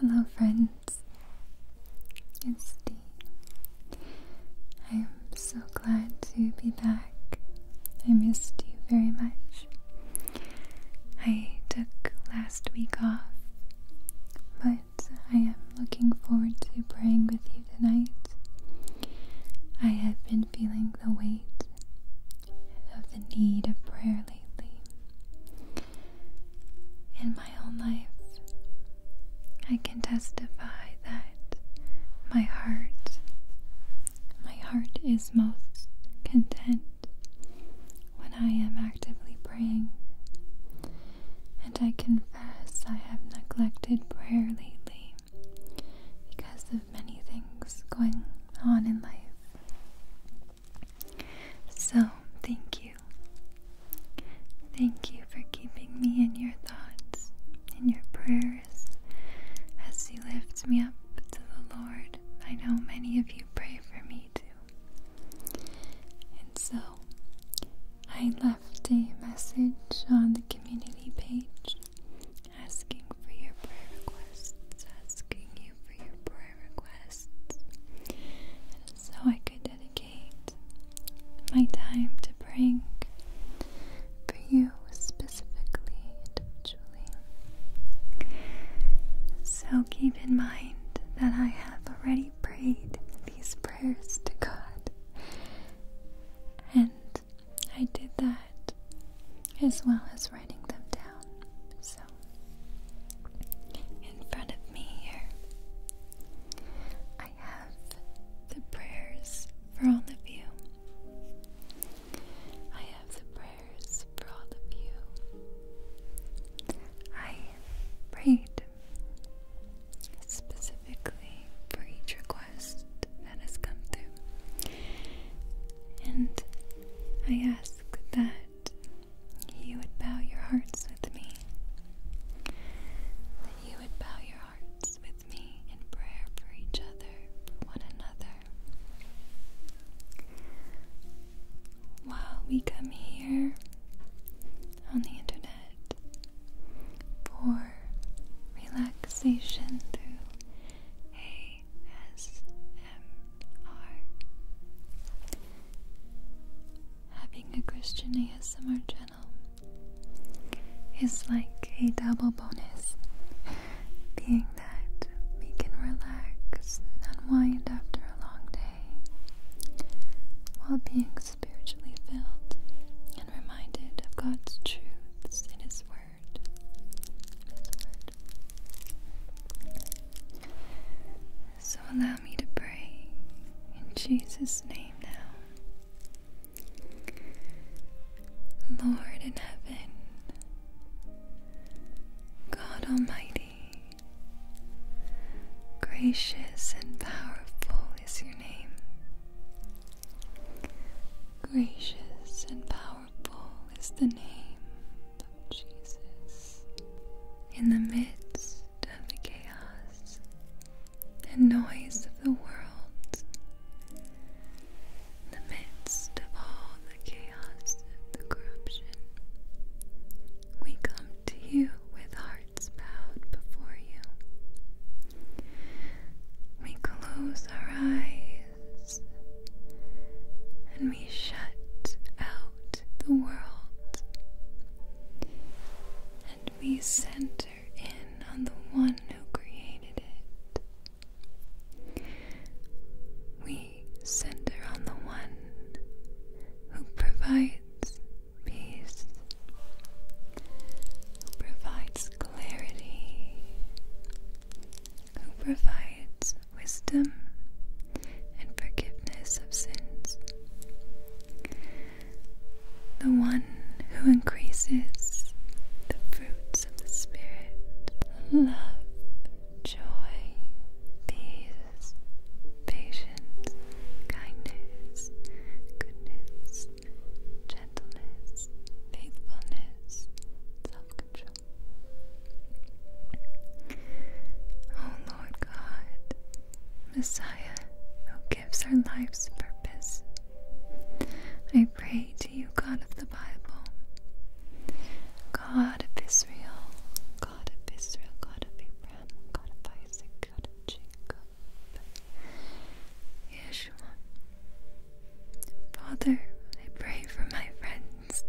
Hello, friends. It's Dee. I'm so glad to be back. I missed you very much. I took last week off, but I am looking forward to praying with you tonight. I have been feeling the weight of the need of prayer lately. In my own life, I can testify that my heart, my heart is most content when I am actively praying. And I confess I have neglected prayer lately because of many things going on in life. So, thank you. Thank you for keeping me in your thoughts, in your prayers, as you lift me up to the Lord. I know many of you pray for me too. And so, I left a message on the community page asking for your prayer requests, asking you for your prayer requests. And so I could dedicate my time to praying for you specifically, individually. So keep in mind that I have already prayed these prayers to God. And I did that as well as writing them down. So, in front of me here, I have the prayers for all of you. I have the prayers for all of you. I prayed specifically for each request that has come through. And I ask that you would bow your hearts with me. That you would bow your hearts with me in prayer for each other, one another. While we come here on the internet for relaxation through ASMR. Having a Christian ASMR channel is like a double bonus, being that we can relax and unwind after a long day while being spiritually filled and reminded of God's truths in His Word. So allow me to pray in Jesus' name now. Lord in heaven, God Almighty, gracious and powerful is your name. Gracious and powerful. Powerful is the name of Jesus. In the midst of the chaos and noise of the world, in the midst of all the chaos and corruption, we come to you with hearts bowed before you. We close our eyes and we shut out the world and we center in on the one who created it. We center on the one who provides peace, who provides clarity, who provides wisdom and forgiveness of sins. The one who increases the fruits of the Spirit love, joy, peace, patience, kindness, goodness, gentleness, faithfulness, self control. O oh, Lord God, Messiah, who gives our lives purpose, I pray to you, God of the Bible, God of Israel, God of Israel, God of Abraham, God of Isaac, God of Jacob, Yeshua, Father, I pray for my friends,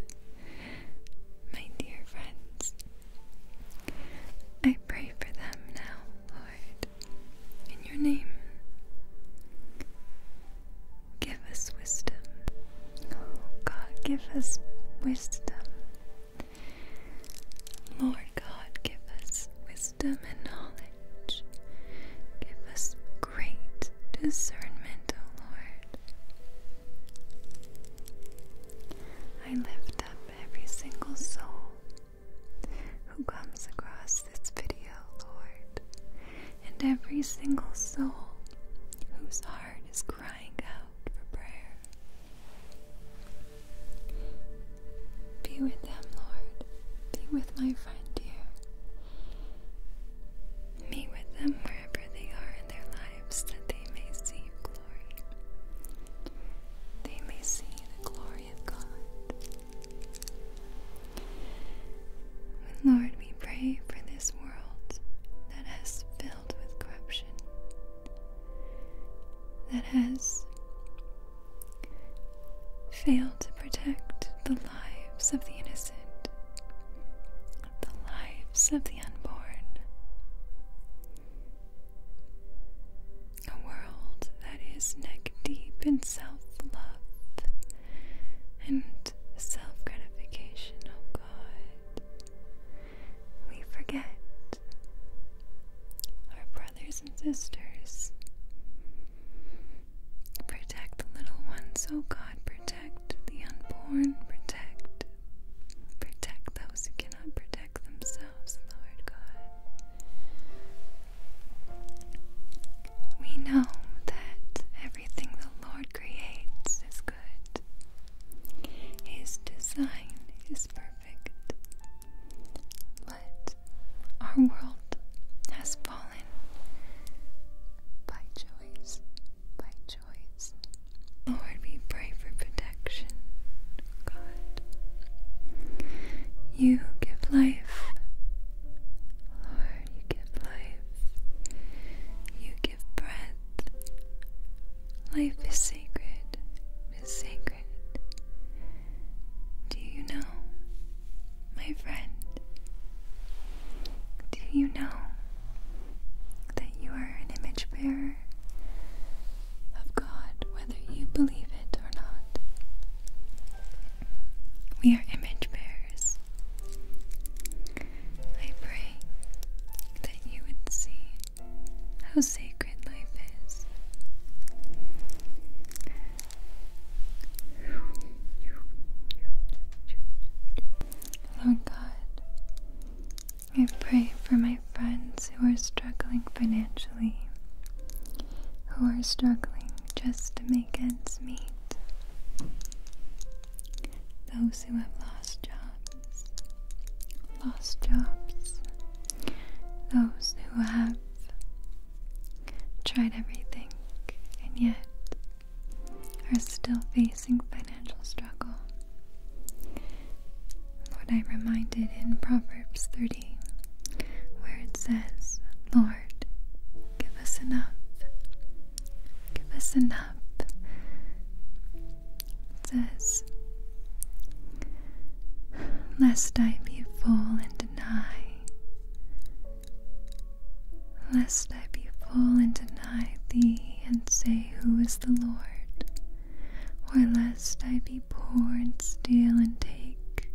my dear friends. I pray for them now, Lord, in your name. Give us wisdom. Oh, God, give us wisdom. Lord God, give us wisdom and knowledge. Give us great discernment, O Lord. I lift up every single soul who comes across this video, Lord, and every single soul whose heart is crying out for prayer. Be with them, Lord. Be with my friend here. Meet with them wherever they are in their lives, that they may see glory. They may see the glory of God. Lord, we pray for this world that has filled with corruption, that has failed to protect the lives of the innocent, the lives of the unborn. A world that is neck deep in self love and self gratification, oh God. We forget our brothers and sisters. Protect the little ones, oh God. Protect the unborn. Protect. Protect those who cannot protect themselves, Lord God. We know that everything the Lord creates is good. His design is perfect. But our world has fallen by choice, by choice. Lord, we pray for protection, God. You give life, Lord, you give life. You give breath. Life is sacred, is sacred. Do you know? my friend, do you know that you are an image bearer of God, whether you believe it or not? We are image bearers. I pray that you would see how sacred life is. Lord God, I pray for my friends who are struggling financially, who are struggling just to make ends meet, those who have lost jobs, lost jobs, those who have tried everything and yet are still facing financial struggle. Lord, i reminded in Proverbs 30 where it says, Lord, give us enough. Give us enough. It says, Lest I be full and deny lest I be full and deny thee and say, Who is the Lord? Or lest I be poor and steal and take,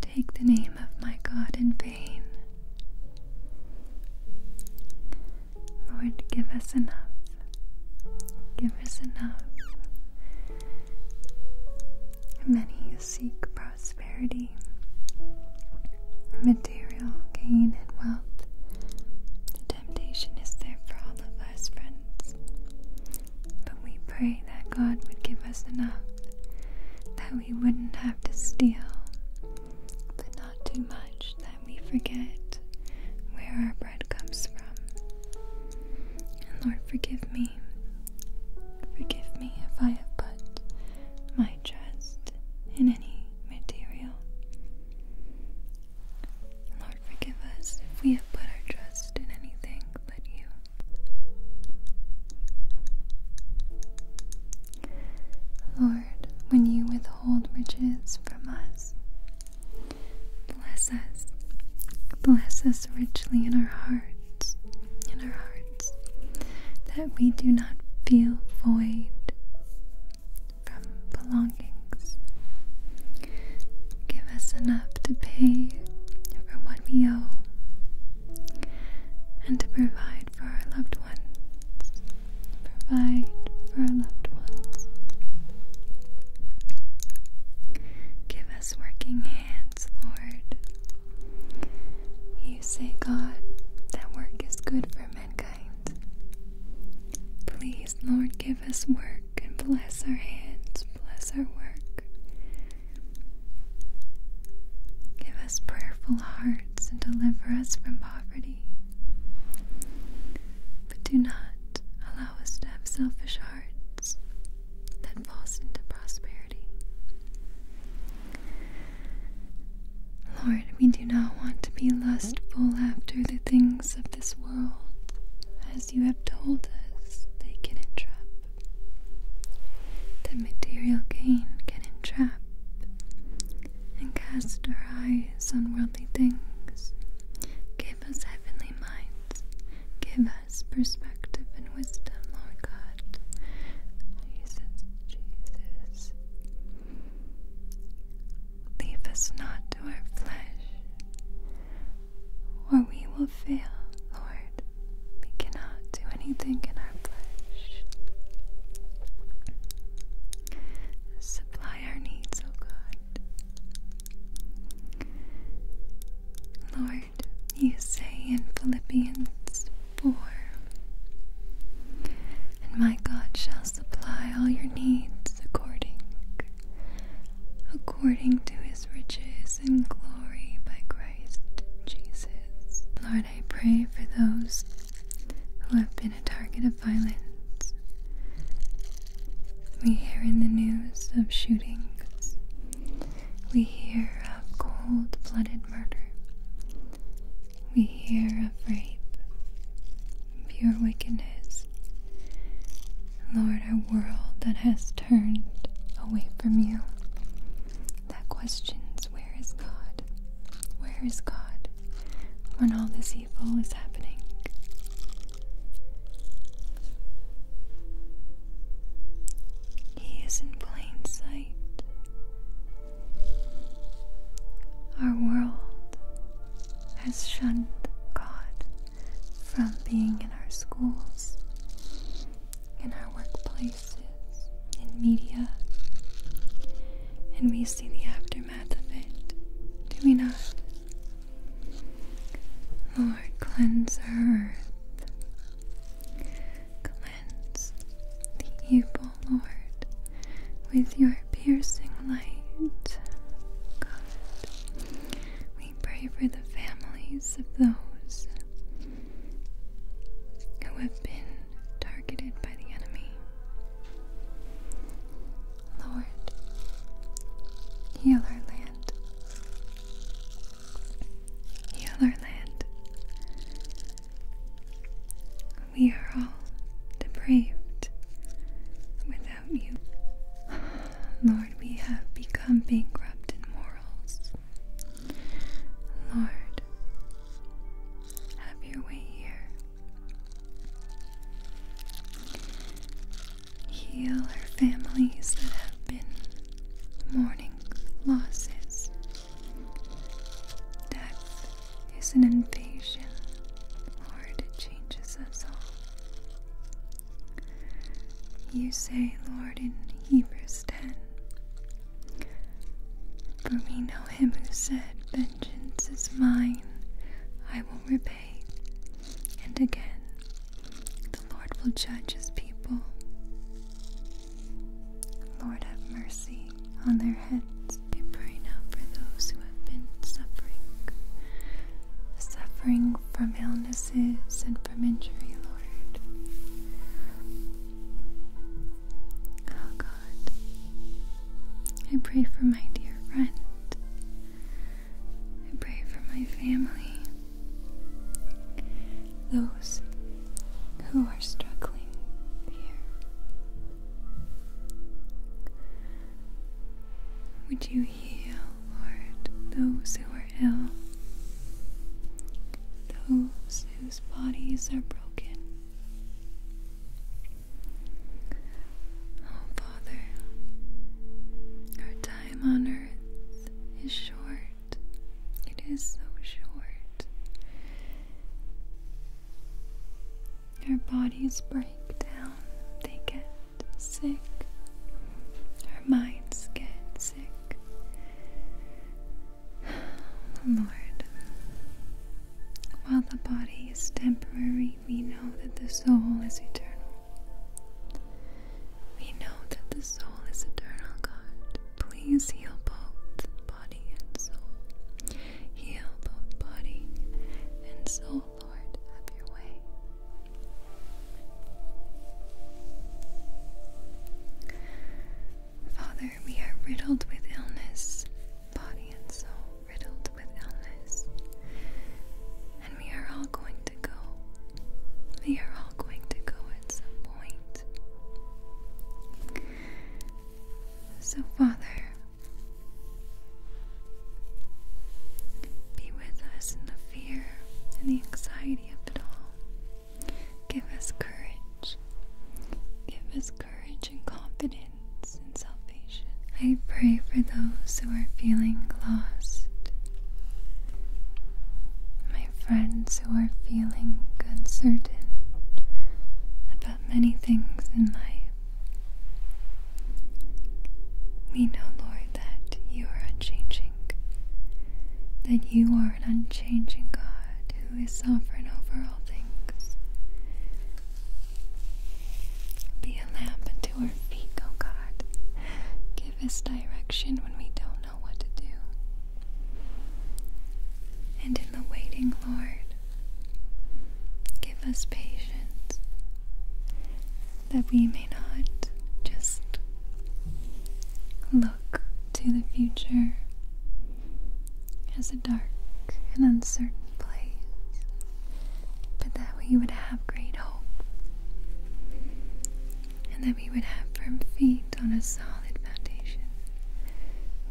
take the name of my God in vain. Lord, give us enough. Give us enough. Many seek prosperity, material gain, and wealth. The temptation is there for all of us, friends. But we pray that God would give us enough that we wouldn't have to steal, but not too much that we forget where our bread comes from. And Lord, forgive me. Forgive me if I have put my I trust in any material. Lord, forgive us if we have put our trust in anything but you. Lord, when you withhold riches from us, bless us. Bless us richly in our hearts, in our hearts that we do not feel void from belongings. Give us enough to pay for what we owe and to provide for our loved ones. Provide for our loved ones. Give us working hands, Lord. You say, God, that work is good for me mankind. Please, Lord, give us work and bless our hands, bless our work. Give us prayerful hearts and deliver us from poverty. But do not allow us to have selfish hearts that fall into prosperity. Lord, we do not want to be lustful after the things of this world, as you have told us they can entrap. The material gain can entrap and cast our eyes on worldly things. Give us heavenly minds. Give us perspective and wisdom, Lord God. Jesus, Jesus. Leave us not to our flesh, or we will fail, Lord. We cannot do anything in our flesh. Supply our needs, O God. Lord, you say in Philippians 4. And my God shall supply all your needs according according to his riches and glory by Christ Jesus. Lord, I pray for those who have been a target of violence. We hear in the news of shootings. We hear of cold-blooded murder we hear of rape, pure wickedness. Lord, our world that has turned away from you, that questions where is God? Where is God when all this evil is happening? He is in plain sight. Our world has shunned God from being in our schools, in our workplaces, in media, and we see the aftermath of it, do we not? Lord, cleanse earth silence the evil Lord with your piercing light. God, we pray for the families of those who have been targeted by the enemy. Lord, heal our land. Heal our land. We are all depraved without you. Lord, we have become bankrupt in morals. Lord, have your way here. Heal our families that have been mourning losses. Death is an invasion. Lord, it changes us all. You say, Lord, in Hebrews 10 For we know him who said, Vengeance is mine, I will repay. And again, the Lord will judge his people. Lord, have mercy on their heads. I pray now for those who have been suffering, suffering from illnesses and from injury, Lord. Oh God, I pray for my dear friend. I pray for my family, those who are struggling here. Would you heal, Lord, those who are ill, those whose bodies are broken? Oh, Father, our time on earth is short. It is so short. Our bodies break down, they get sick. Our minds get sick. Lord, while the body is temporary, we know that the soul is eternal. We know that the soul is eternal, God. Please heal both body and soul. Heal both body and soul, Lord, have your way. Father, we are riddled with illness, body and soul riddled with illness. And we are all going to go. We are all going to go at some point. So, Father, be with us in the fear and the anxiety of it all. Give us courage. Give us courage and confidence in salvation. I pray for those who are feeling lost, my friends who are feeling uncertain about many things in life. We know, Lord, that you are unchanging, that you are an unchanging God who is sovereign over all things. Be a lamp unto our feet, O God. Give us direction when we don't know what to do. And in the waiting, Lord, Give us patience that we may not just look to the future as a dark and uncertain place, but that we would have great hope and that we would have firm feet on a solid foundation,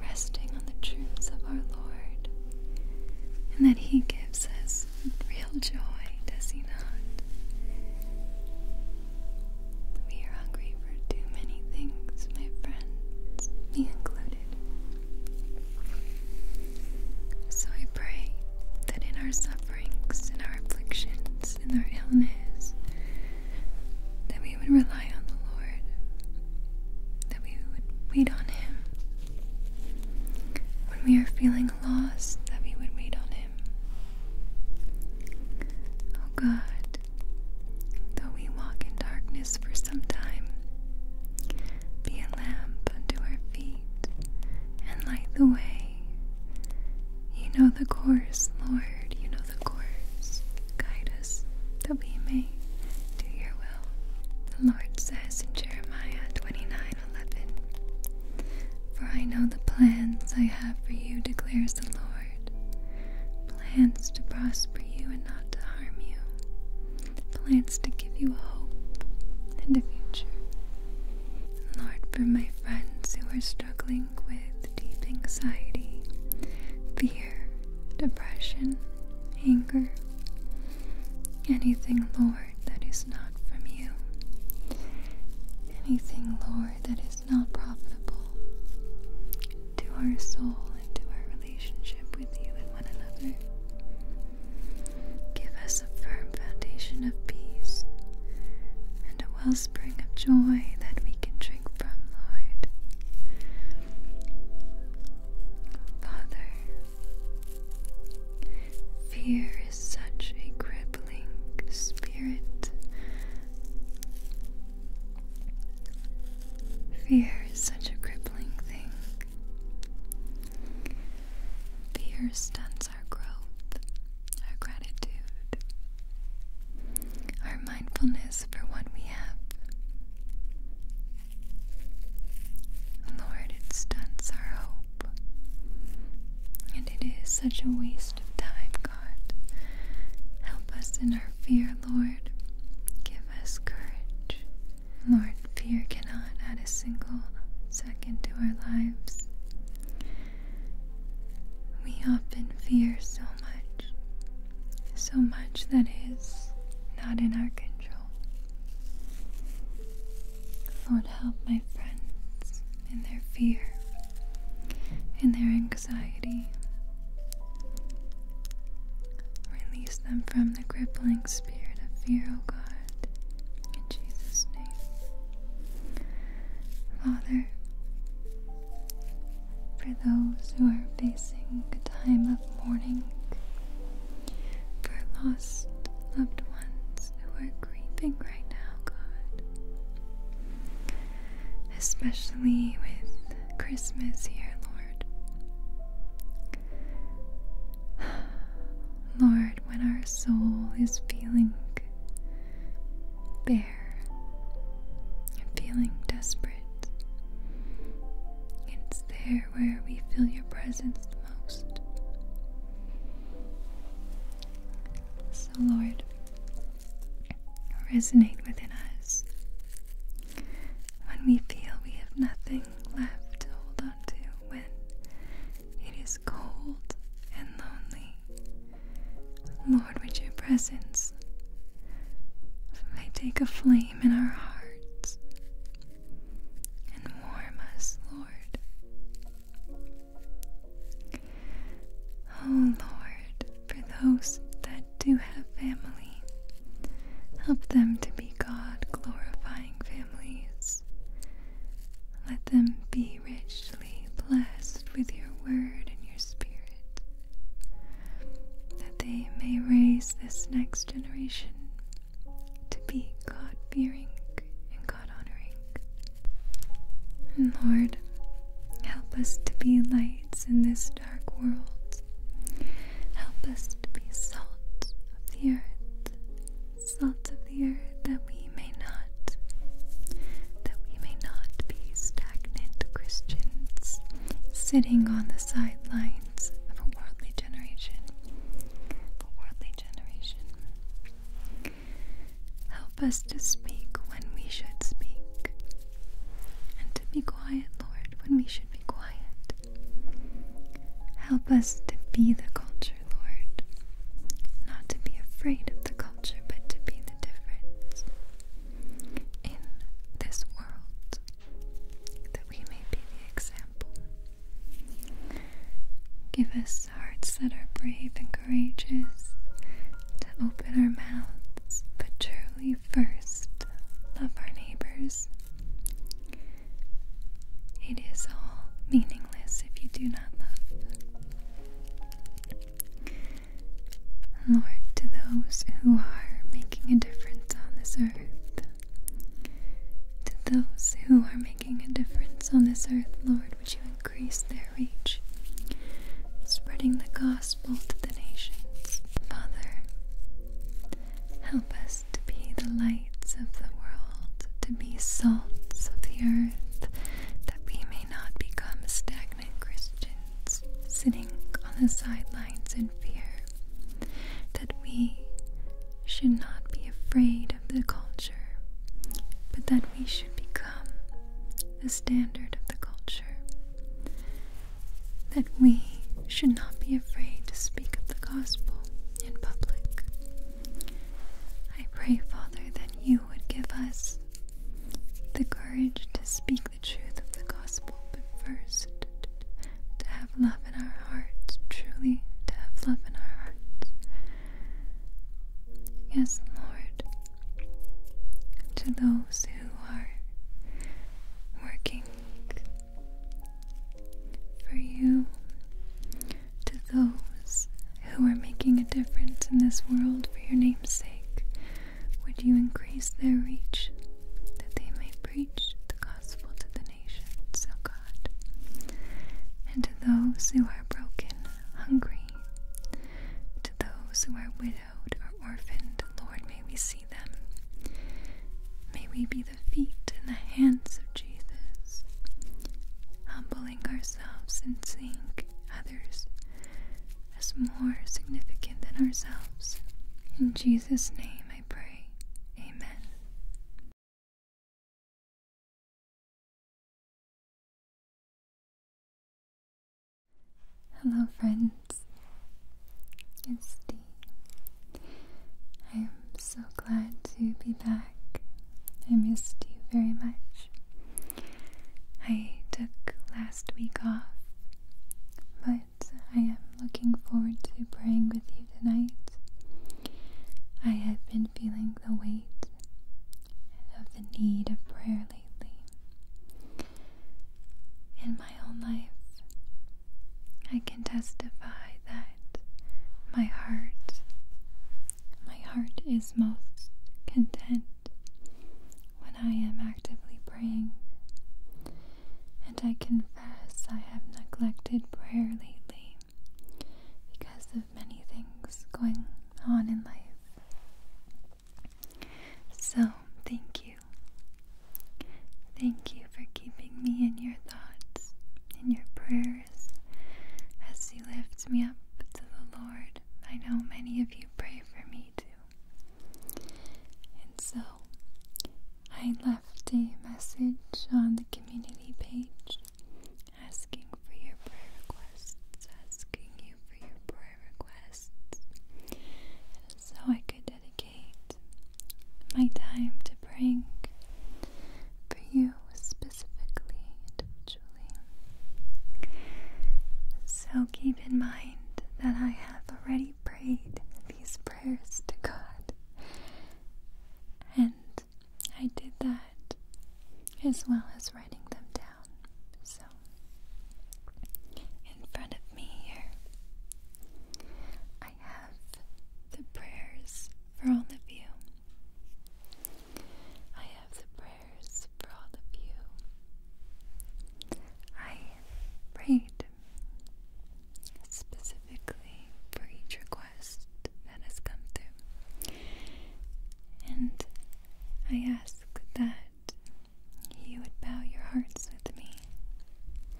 resting on the truths of our Lord and that He gives us real joy, does He not? We are hungry for too many things, my friends, me included. So I pray that in our sufferings, in our afflictions, in our illness, that we would rely on the Lord that we would wait on Him. When we are feeling lost, that we would wait on Him. Oh God, though we walk in darkness for some time, be a lamp unto our feet and light the way. You know the course, Lord, you know the course. Guide us that we may do your will. The Lord says in Jeremiah 29:11, For I know the plans I have for you, declares the Lord. Plans to prosper you and not to harm you. Plans to give you a hope and a future. Lord, for my friends who are struggling with deep anxiety, fear, depression, anger, Anything, Lord, that is not from you. Anything, Lord, that is not profitable to our soul and to our relationship with you and one another. Give us a firm foundation of peace and a wellspring of joy that we can drink from, Lord. Father, Fear is such a crippling spirit. Fear is such a crippling thing. Fear stunts our growth, our gratitude, our mindfulness for what we have. Lord, it stunts our hope. And it is such a waste of time, God. Help us in our fear, Lord. Give us courage. Lord, fear cannot add a single second to our lives. We often fear so much, so much that is not in our control. Lord, help my friends in their fear, in their anxiety. Release them from the crippling spirit of fear, O God, in Jesus' name. Father, for those who are facing a time of mourning for lost loved ones who are grieving right now, God. Especially with Christmas here, Lord. Lord, when our soul is feeling bare and feeling desperate, it's there where we feel your presence the most. So, Lord, resonate within us. When we feel we have nothing left to hold on to, when it is cold and lonely, Lord, with your presence, may take a flame in our hearts and warm us, Lord. Oh Lord, for those that do have family, help them to be God glorifying families. Let them be richly blessed with your word and your spirit, that they may raise this next generation to be God fearing and God honoring. And Lord, help us to be lights in this dark world. Help us to be salt of the earth, salt of the earth that we may not, that we may not be stagnant Christians sitting on the sidelines of a worldly generation. Of a worldly generation. Help us to speak when we should speak, and to be quiet, Lord, when we should be quiet. Help us to be the culture, Lord. Not to be afraid of the culture, but to be the difference in this world, that we may be the example Give us hearts that are brave and courageous to open our mouths, but truly first love our neighbors. It is all meaningless if you do not love. Lord, to those who are making a difference on this earth, to those who are making a difference on this earth, Lord, would you increase their reach, spreading the gospel to the nations. Father, help us to be the lights of the world, to be salts of the earth, that we may not become stagnant Christians, sitting on the sidelines in fear, that we should not be afraid of the culture, but that we should become the standard of the culture. That we should not be afraid to speak of the gospel in public. I pray, Father, that you would give us the courage to speak the truth of the gospel, but first to have love in our hearts, truly to have love in our hearts. Yes, Lord, to those who are working for you, to those who are making a difference in this world for your name's sake, would you increase their reach that they may preach the to the nations, O God, and to those who are broken, hungry, to those who are widowed or orphaned, Lord, may we see them. May we be the feet and the hands of Jesus, humbling ourselves and seeing others as more significant than ourselves. In Jesus' name I pray. Amen. Hello, friends. It's Dee. I'm so glad to be back. I missed you very much. I took last week off, but I am looking forward to praying with you tonight. I have been feeling the weight of the need of prayer lately. In my own life, I can testify that my heart, my heart is most content when I am actively praying. And I confess I have neglected prayer lately because of many things going on in life. So, thank you. Thank you for keeping me in your thoughts, in your prayers, as you lift me up to the Lord. I know many of you pray for me too. And so, I left a message on the community page asking for your prayer requests, asking you for your prayer requests, so I could dedicate my time to praying for you specifically, individually. So keep in mind that I have already prayed these prayers to God. I did that as well as writing them down. So, in front of me here, I have the prayers for all of you. I have the prayers for all of you. I prayed specifically for each request that has come through. And I ask that you would bow your hearts with me.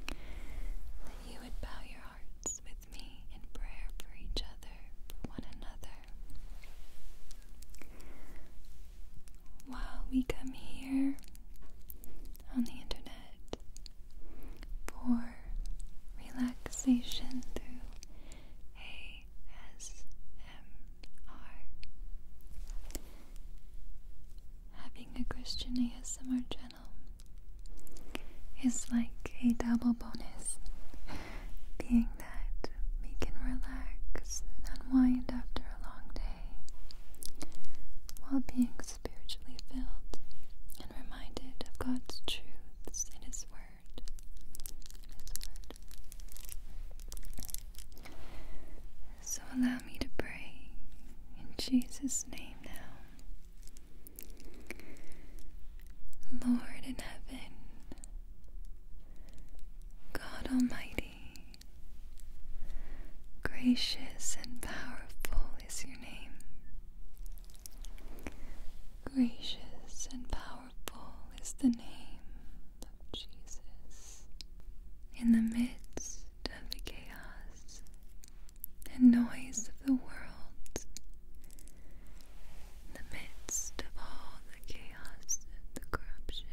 That you would bow your hearts with me in prayer for each other, for one another. While we come here on the internet, for relaxation through ASMR. Having a Christian ASMR channel is like a double bonus, being that we can relax and unwind after a long day while being spiritually filled and reminded of God's truths in His Word. His Word. So allow me to pray in Jesus' name now. Lord in heaven, God Almighty, gracious and powerful is your name. Gracious and powerful is the name of Jesus. In the midst of the chaos and noise of the world, in the midst of all the chaos and the corruption,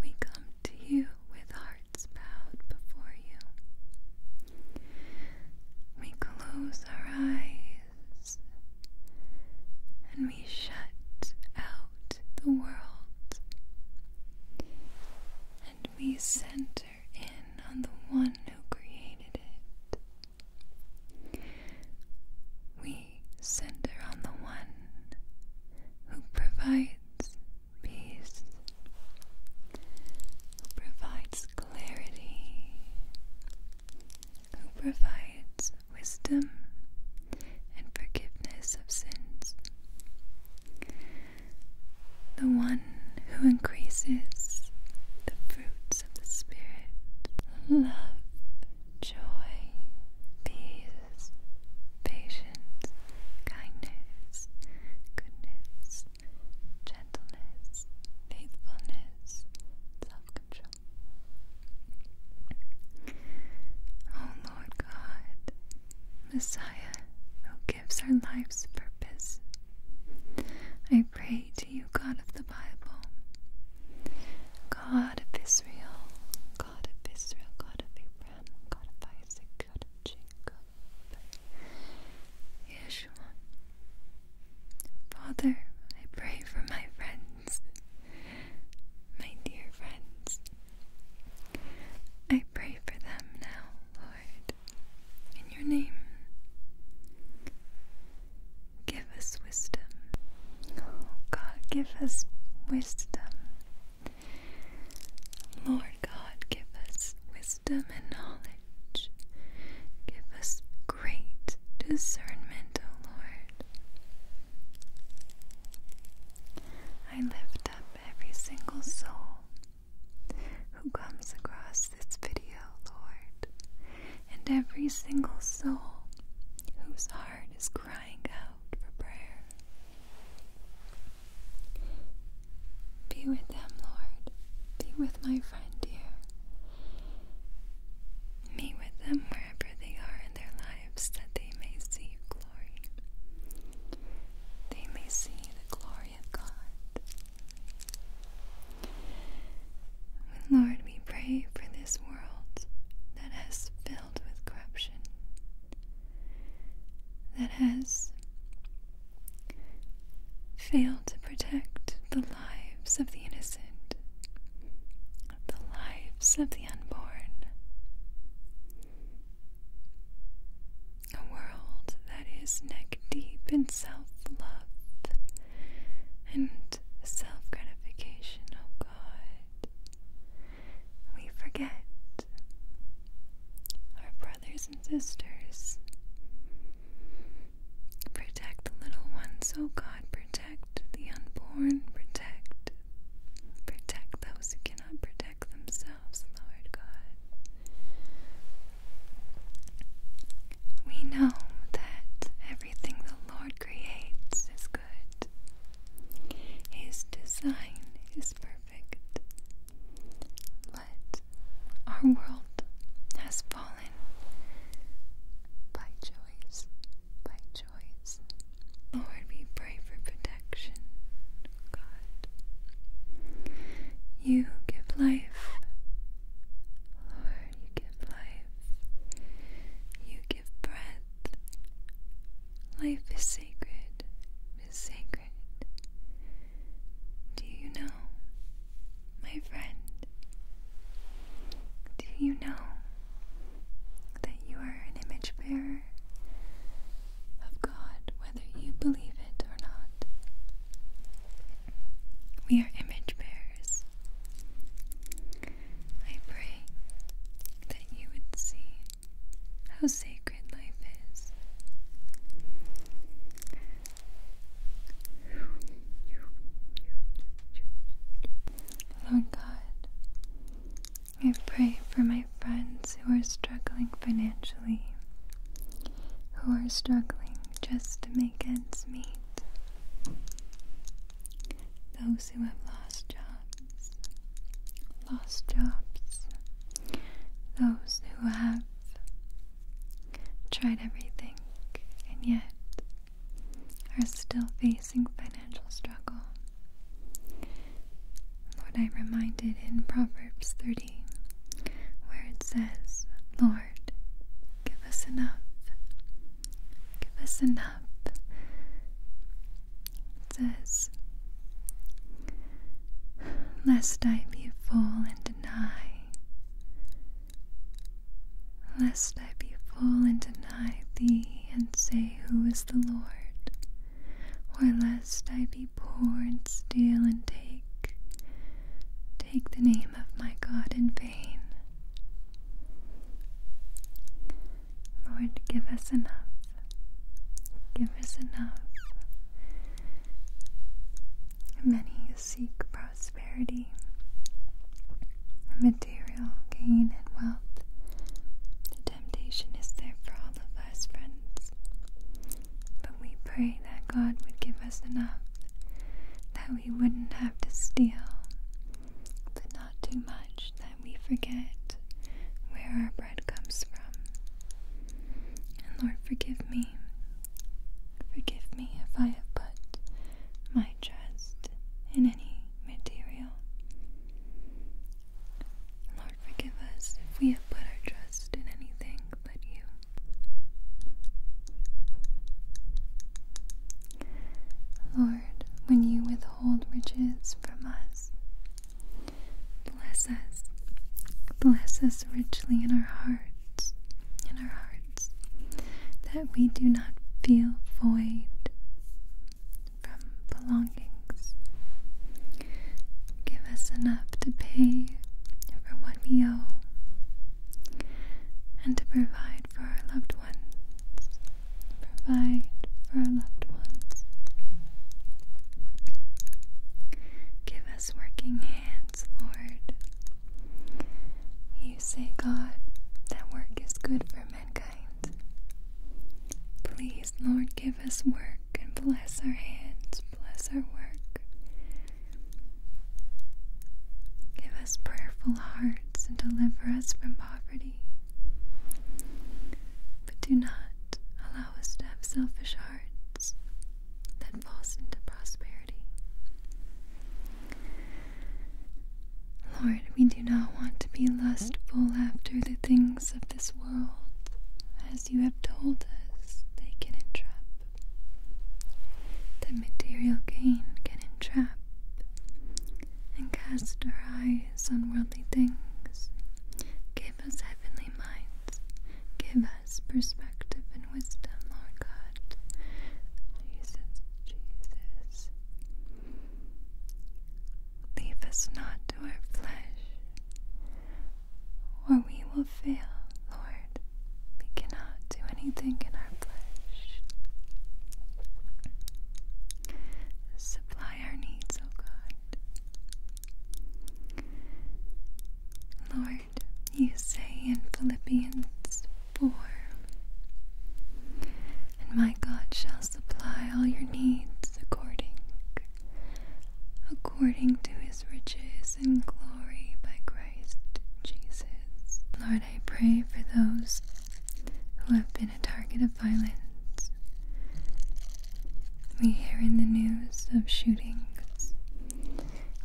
we come to you with hearts bowed before you. We close our eyes and we shut out the world and we center in on the one who created it. We center on the one who provides peace who provides clarity, who provides wisdom and forgiveness of sins, the one who increases the fruits of the Spirit love, joy, peace, patience, kindness, goodness, gentleness, faithfulness, self control. Oh Lord God, Messiah, who gives our life's purpose, I pray to you, God of the Bible, God of Israel, God of Israel, God of Abraham, God of Isaac, God of Jacob. Yeshua. Father, I pray for my friends, my dear friends. I pray for them now, Lord, in your name. Give us wisdom. Oh, God, give us wisdom. Lord God, give us wisdom wisdom and knowledge. Give us great discernment, O Lord. I lift up every single soul who comes across this video, Lord, and every single soul whose heart is crying out for prayer. Be with them, Lord. Be with my friend dear. Meet with them wherever they are in their lives that they may see glory. They may see the glory of God. Lord, we pray for this world that has filled with corruption, that has Fail to protect the lives of the innocent, the lives of the unborn. A world that is neck deep in self love and self gratification, oh God. We forget our brothers and sisters. Protect the little ones, oh God, protect the unborn, protect, protect those who cannot protect themselves, Lord God. We know that everything the Lord creates is good. His design is perfect our world has fallen by choice, by choice. Lord, we pray for protection, God. You give life. Lord, you give life. You give breath. Life is sacred, is sacred. Do you know, my friend? Do you know that you are an image bearer of God, whether you believe it or not? We are image bearers. I pray that you would see how sacred life is. Lord God, I pray for my friends who are struggling financially, who are struggling just to make ends meet, those who have lost jobs, lost jobs, those who have tried everything, and yet are still facing financial struggle. Lord, i reminded in Proverbs 30, where it says, Lord, give us enough. Give us enough. It says, Lest I be full and deny lest I be full and deny thee and say, Who is the Lord? Or lest I be poor and steal and take, take the name of my God in vain. Lord, give us enough. Give us enough. Many seek prosperity, material gain, and wealth. The temptation is there for all of us, friends. But we pray that God would give us enough that we wouldn't have to steal, but not too much that we forget where our bread comes from. And Lord, forgive me Forgive me if I have put my trust in any material. Lord, forgive us if we have put our trust in anything but you. Lord, when you withhold riches from us, bless us. Bless us richly in our hearts, in our hearts that we do not feel void from belongings. Give us enough to pay for what we owe and to provide for our loved ones. Provide for our loved ones. Give us working hands, Lord, you say, God, that work is good for mankind. Please, Lord, give us work and bless our hands, bless our work. Give us prayerful hearts and deliver us from poverty. But do not allow us to have selfish hearts that falls into prosperity. Lord, we do not want to be lustful after the things of this world, as you have told us they can entrap, The material gain can entrap and cast our eyes on worldly things. Give us heavenly minds. Give us us perspective and wisdom, Lord God. Jesus, Jesus. Leave us not to our flesh, or we will fail, Lord. We cannot do anything in our flesh. Supply our needs, O God. Lord, you say in Philippians 4 And my God shall supply all your needs according according to his riches and glory by Christ Jesus. Lord, I pray for those who have been a target of violence. We hear in the news of shootings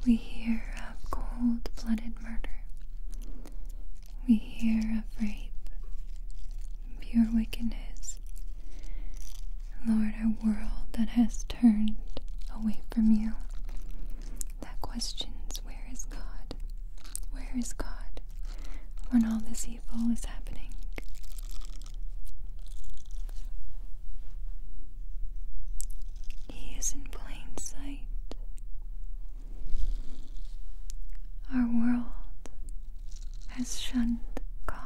we hear of cold blooded murder. We hear of rape, pure wickedness. Lord, a world that has turned away from you, that questions where is God? Where is God when all this evil is happening? He is in plain sight. Our world has shunned God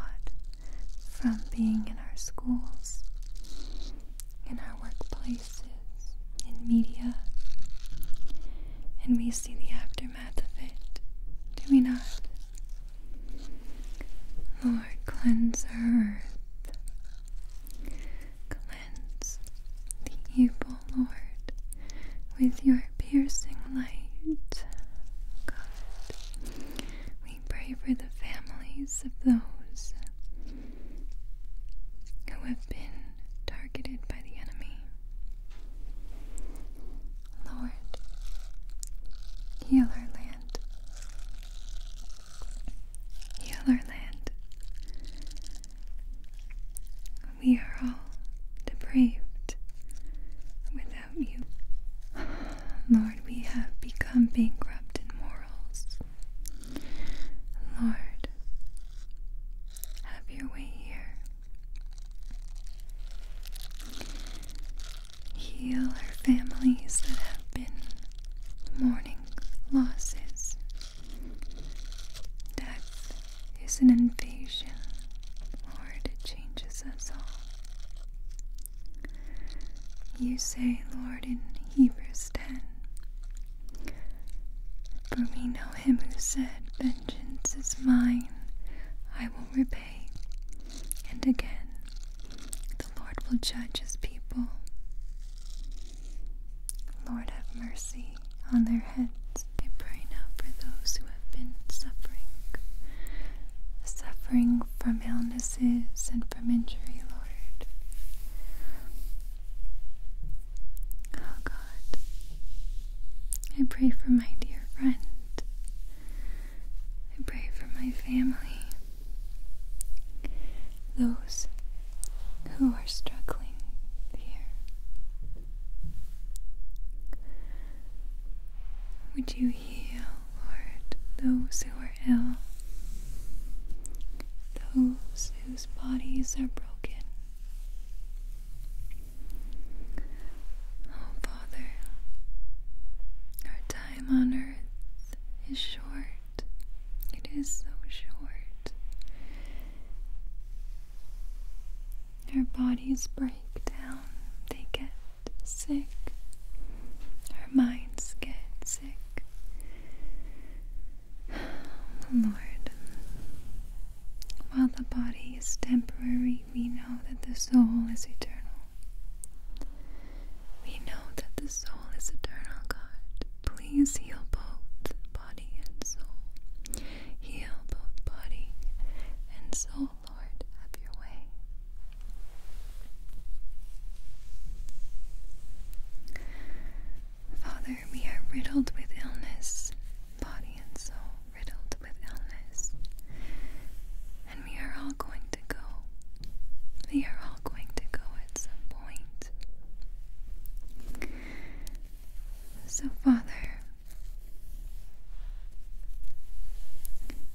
from being in our schools, in our workplaces, in media, and we see the aftermath of it, do we not? Lord, cleanse earth cleanse the evil, Lord, with your piercing light. God, we pray for the families of those who have been targeted by the enemy. Lord, heal our land. Yellerland. We are all depraved without you. Lord, we have become bankrupt in morals. Lord, have your way here. Heal our families that have been mourning losses Death is an invasion, Lord, it changes us all. You say, Lord, in Hebrews 10, For we know him who said, Vengeance is mine, I will repay. And again, the Lord will judge his people. Lord, have mercy on their heads. I pray now for those who have been suffering, suffering from illnesses and from injury, Lord. Oh God, I pray for my dear friend. I pray for my family, those who are struggling here. Would you heal, Lord, those who are ill, those whose bodies are broken? Oh, Father, our time on earth is short. It is so short. Our bodies break down, they get sick, our minds get sick. Oh, Lord, while the body is temporary, we know that the soul is eternal. We know that the soul is eternal, God. Please heal both body and soul. Heal both body and soul, Lord, have your way. Father, we are riddled with illness, body and soul riddled with illness. And we are all going to go. We are all going to go at some point. So, Father,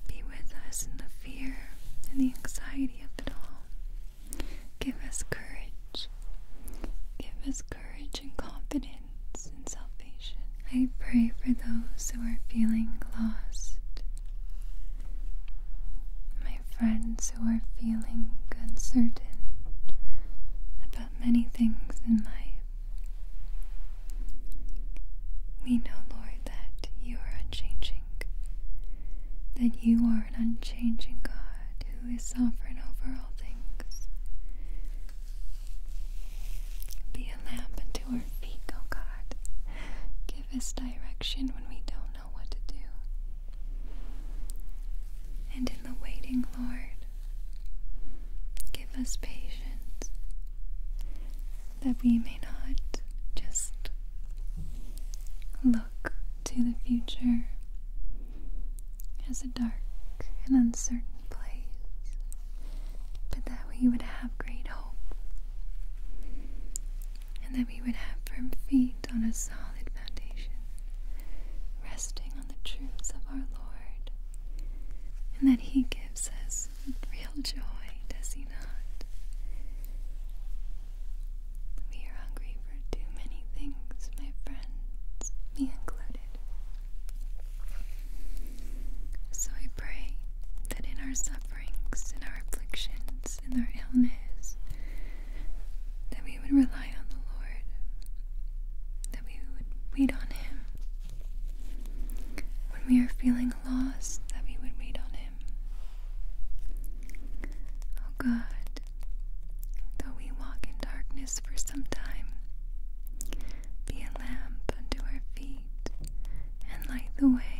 be with us in the fear and the anxiety of it all. Give us courage. Give us courage and confidence and salvation. I pray for those who are feeling lost friends who are feeling uncertain about many things in life. We know, Lord, that you are unchanging, that you are an unchanging God who is sovereign over all things. Be a lamp unto our feet, O God. Give us direction when we don't know what to do. And in the waiting, Lord, give us patience that we may not just look to the future as a dark and uncertain place, but that we would have great hope and that we would have firm feet on a solid foundation, resting on the truths of our Lord, and that He gives us real joy, does He not? We are hungry for too many things, my friends, me included. So I pray that in our sufferings, in our afflictions, in our illness, that we would rely on the Lord, that we would wait on Him. When we are feeling lost, that we would wait on Him. Oh God, though we walk in darkness for some time, be a lamp unto our feet and light the way.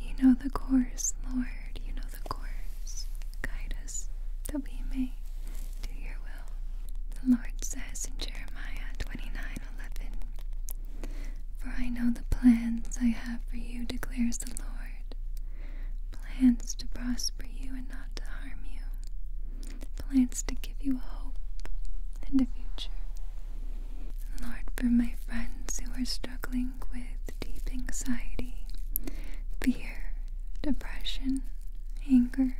You know the course, Lord, you know the course, guide us that we may do your will. The Lord says in Jeremiah 29:11, For I know the plans I have for you, declares the Lord. Plans to prosper you and not to harm you. Plans to give you a hope and a future. Lord, for my friends who are struggling with deep anxiety, fear, depression, anger,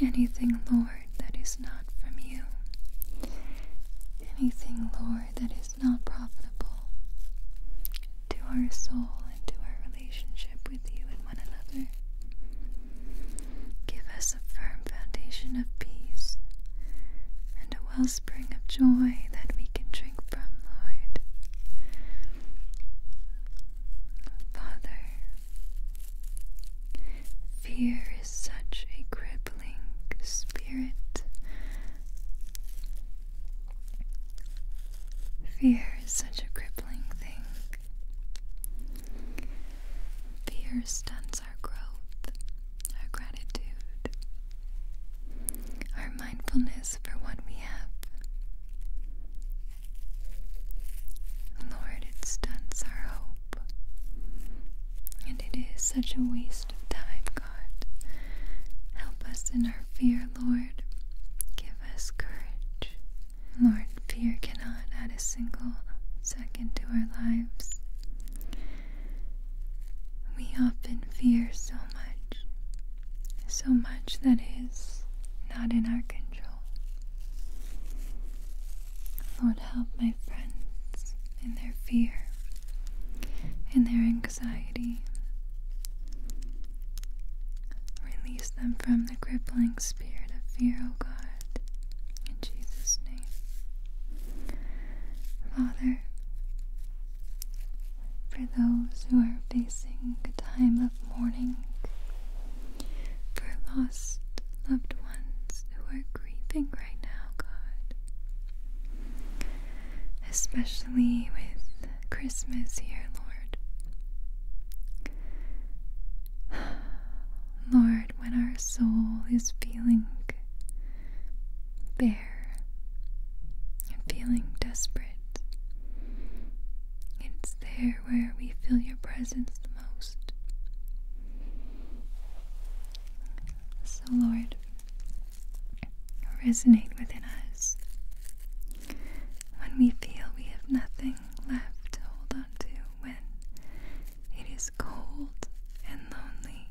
anything, Lord, that is not from you, anything, Lord, that is not profitable to our soul and to our relationship with you and one another. Give us a firm foundation of peace and a wellspring of joy that we can trust from, Lord. Father, fear is such a crippling spirit. Fear is such a crippling thing. Fear stunts our growth, our gratitude, our mindfulness for what we have. Lord, it stunts our hope. And it is such a waste of time, God. Help us in our fear, Lord. Give us courage. Lord, fear cannot add a single second to our lives. We often fear so much, so much that is not in our control. Lord, help my friends in their fear, in their anxiety. Release them from the crippling spirit of fear, O oh God, in Jesus' name. Father, for those who are facing a time of mourning, for lost loved ones who are grieving right now, God. Especially with Christmas here, Lord. Lord, when our soul is feeling bare and feeling desperate. It's there where we feel your presence the most. So, Lord, resonate within us. When we feel we have nothing left to hold on to, when it is cold and lonely,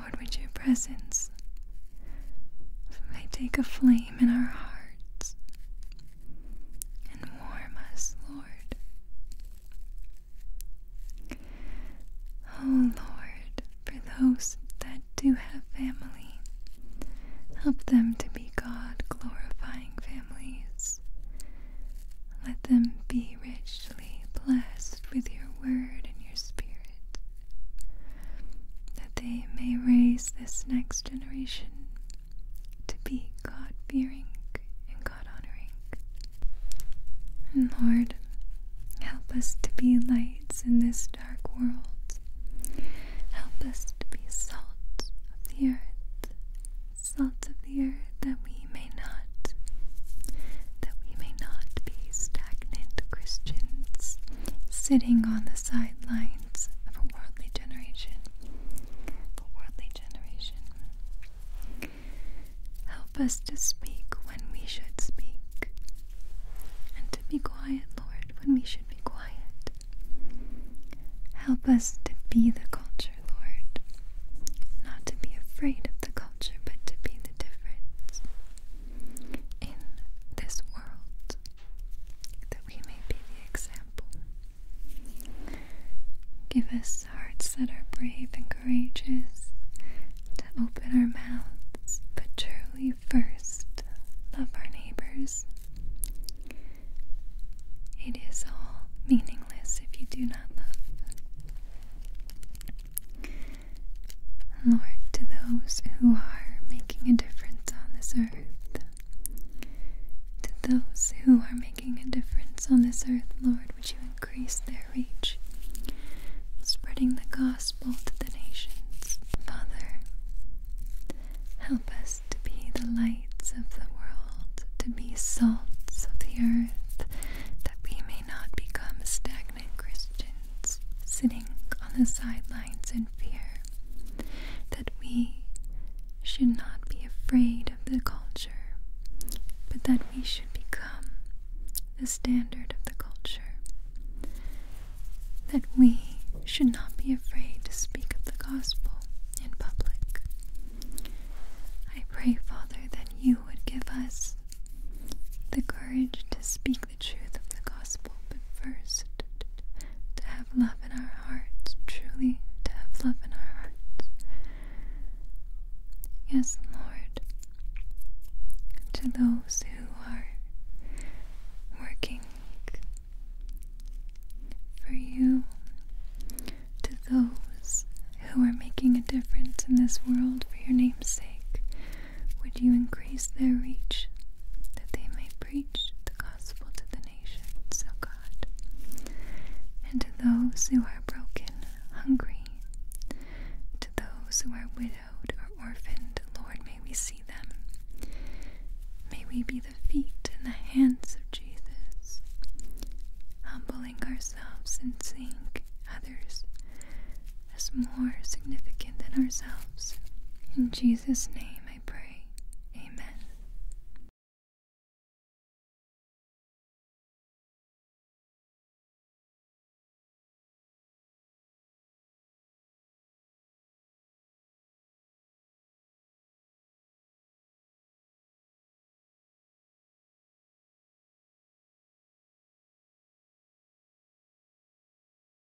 Lord, with your presence may take a flame in our hearts and warm us, Lord. Oh Lord, for those that do have family, help them to be God glorifying families. Let them be richly blessed with your word and your spirit that they may raise this next generation to be God fearing and God honoring. And Lord, help us to be lights in this dark world. Help us to be salt of the earth, salt of the earth that we may not that we may not be stagnant Christians sitting on the sidelines of a worldly generation. a worldly generation. Help us to speak when we should speak, and to be quiet, Lord, when we should be quiet. Help us to be the culture, Lord, not to be afraid of the culture, but to be the difference in this world that we may be the example. Give us hearts that are brave and courageous, to open our mouths, but truly first love our neighbors. It is all meaningless if you do not love. Lord, to those who are making a difference on this earth, to those who are making a difference on this earth, Lord, would you increase their reach, spreading the gospel to the nations. Father, help us to be the lights of the world, to be salts of the earth, that we may not become stagnant Christians sitting on the sidelines in fear that we should not be afraid of the culture, but that we should become the standard of the culture. That we should not be afraid to speak of the gospel in public. I pray, Father, that you would give us the courage to speak the truth of the gospel, but first to have love in our hearts, truly to have love in our hearts. Yes, Lord, to those who are working for you, to those who are making a difference in this world for your name's sake, would you increase their reach, that they may preach the gospel to the nations, O God, and to those who are broken, hungry, to those who are widowed or orphaned, Lord, may we see them. May we be the feet and the hands of Jesus, humbling ourselves and seeing others as more significant than ourselves. In Jesus' name I pray. Amen.